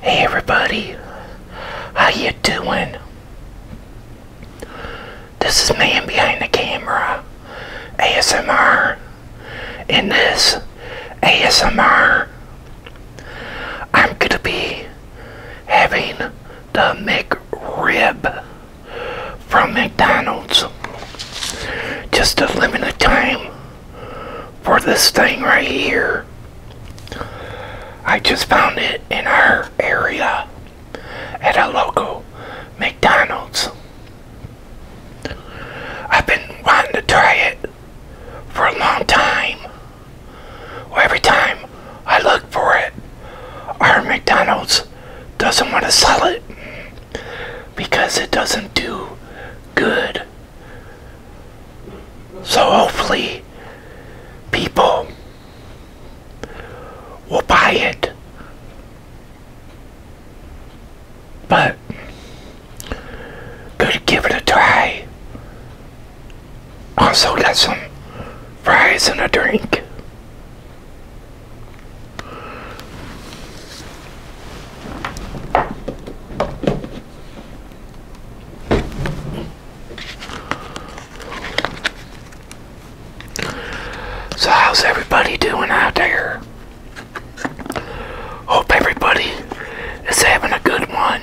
Hey everybody, how you doing? This is Man Behind the Camera, ASMR, in this ASMR I'm gonna be having the McRib from McDonald's. Just a limited time for this thing right here. I just found it in our area at a local McDonald's. I've been wanting to try it for a long time. every time I look for it, our McDonald's doesn't want to sell it because it doesn't do good so hopefully people will buy it. But going give it a try. Also get some fries and a drink. So how's everybody doing out there? Hope everybody is having a good one.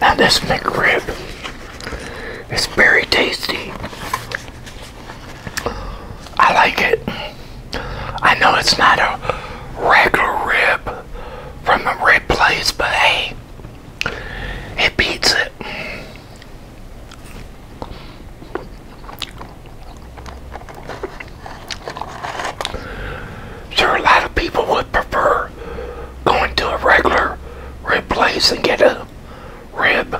Now this McRib is very tasty. I like it. I know it's not a regular rib from a red place, but hey, it beats it. Sure, a lot of people would prefer or going to a regular rib place and get a rib.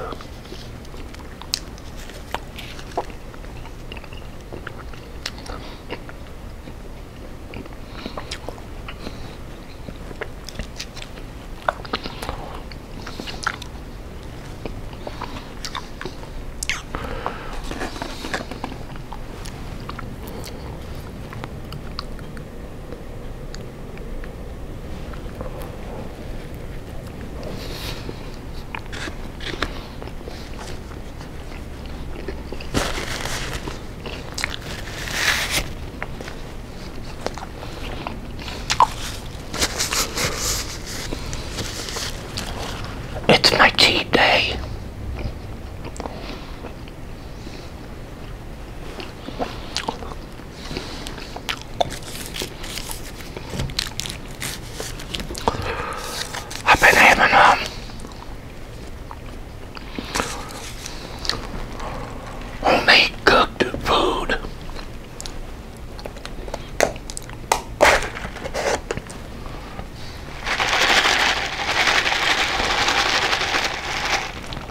It's my cheat day. I've been having um homemade cooked food.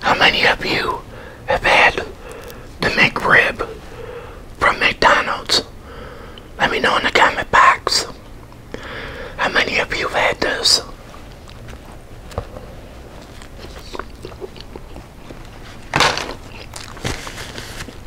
How many of you have had the McRib from McDonald's? Let me know in the comment box. How many of you have had those?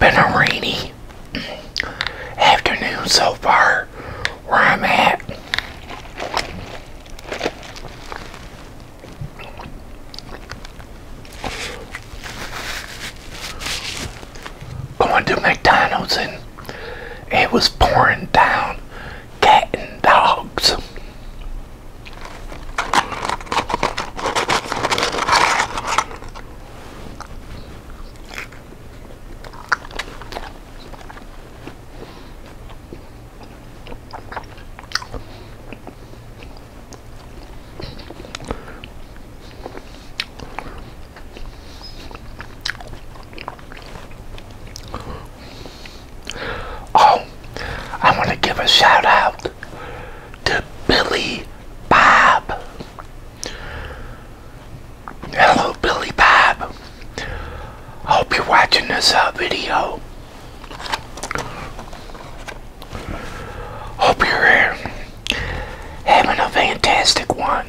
Been a rainy afternoon so far where I'm at going to McDonald's and it was pouring down cat and dogs. Oh, I want to give a shout out to Billy Bob. Hello, Billy Bob. I Hope you're watching this uh, video. Hope you're having a fantastic one.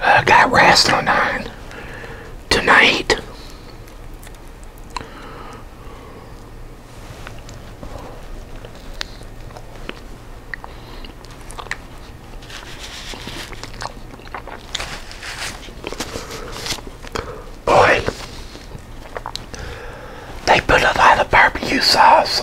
I got rest on nine tonight. Boy, they put a lot of barbecue sauce.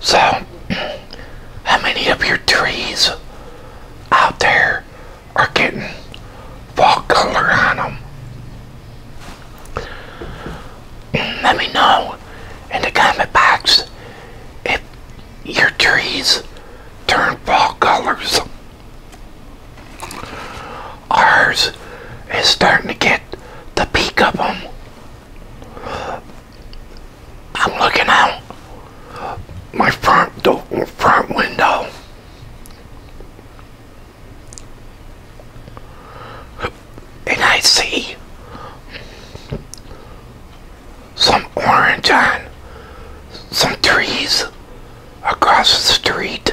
So, how many of your trees out there are getting fall color on them? Mm, let me know in the comment box if your trees turn fall colors. Ours is starting to get the peak of them. I'm looking out my front door, front window. And I see some orange on some trees across the street.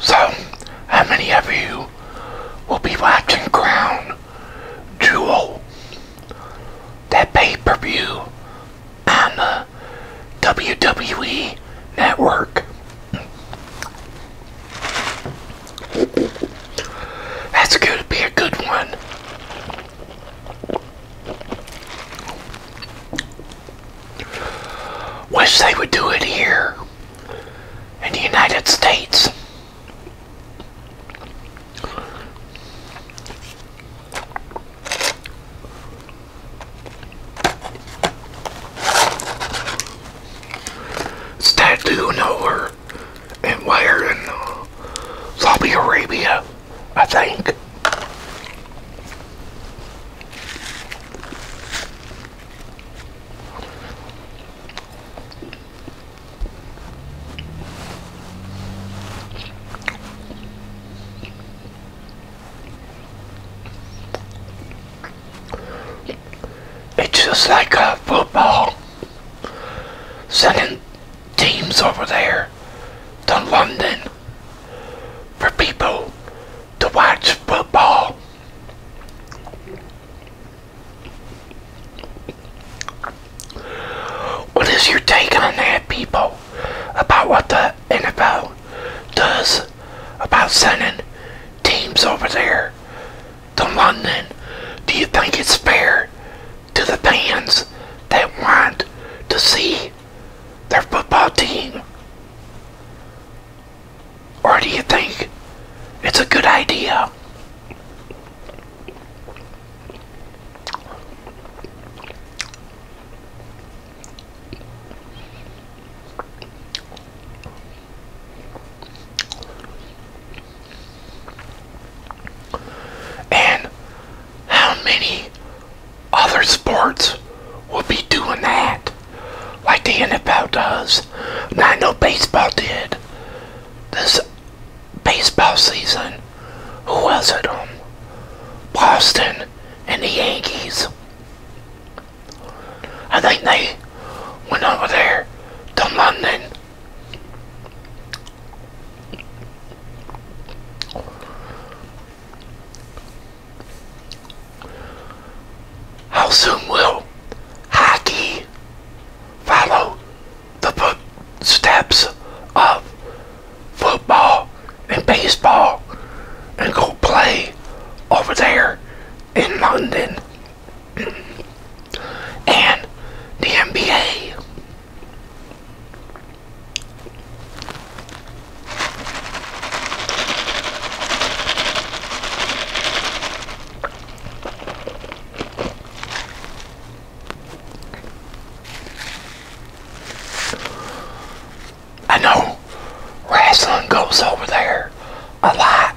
So, how many of you will be watching Crown Jewel, that pay-per-view on the WWE Network? That's going to be a good one. Wish they would do it here in the United States. Statue of doing and wire in Saudi Arabia, I think. It's just like a football sending teams over there to London for people to watch football. What is your take on that, people, about what the NFL does about sending teams over there to London? Do you think it's fair to the fans that want to see their football team? Or do you think it's a good idea? And how many other sports will be doing that? Like the NFL does. And I know baseball did. This baseball season. Who was it? Um, Boston and the Yankees. I think they went over there to London how soon will hockey follow the footsteps of football and baseball and go play over there in London? and the NBA. I know wrestling goes over there a lot.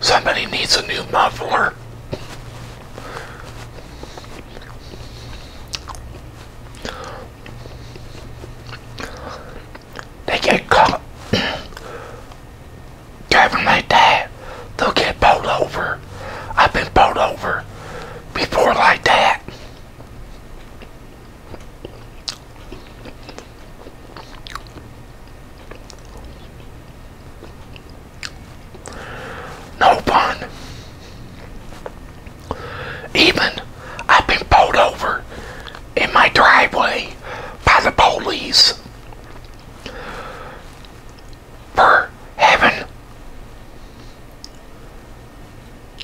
Somebody needs a new muffler. They get caught driving like that, they'll get pulled over. I've been pulled over before like that. No pun. Even I've been pulled over in my driveway by the police for having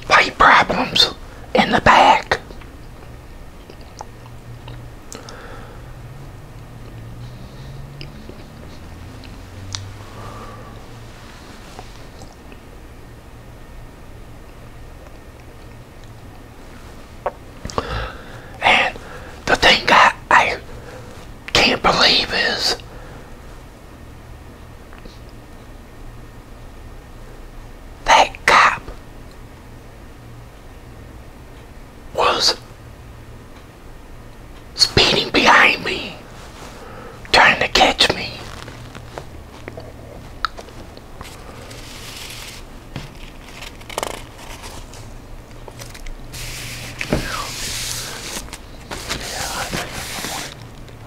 White problems in the back. And the thing I, I can't believe is that cop was speeding behind me, trying to catch me.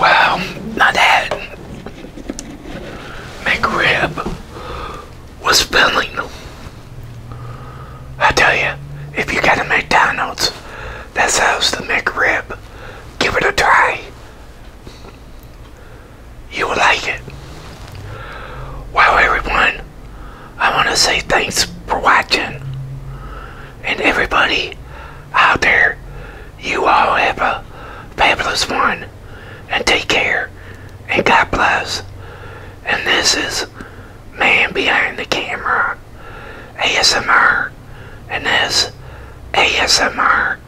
Well, now that McRib was filling. I tell you, if you got a McDonald's that's how's the McRib, give it a try. You will like it. Wow, everyone. I want to say thanks for watching. And everybody out there, you all have a fabulous one. And take care. And God bless. And this is Man Behind the Camera ASMR. And this ASMR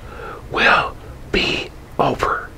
will be over.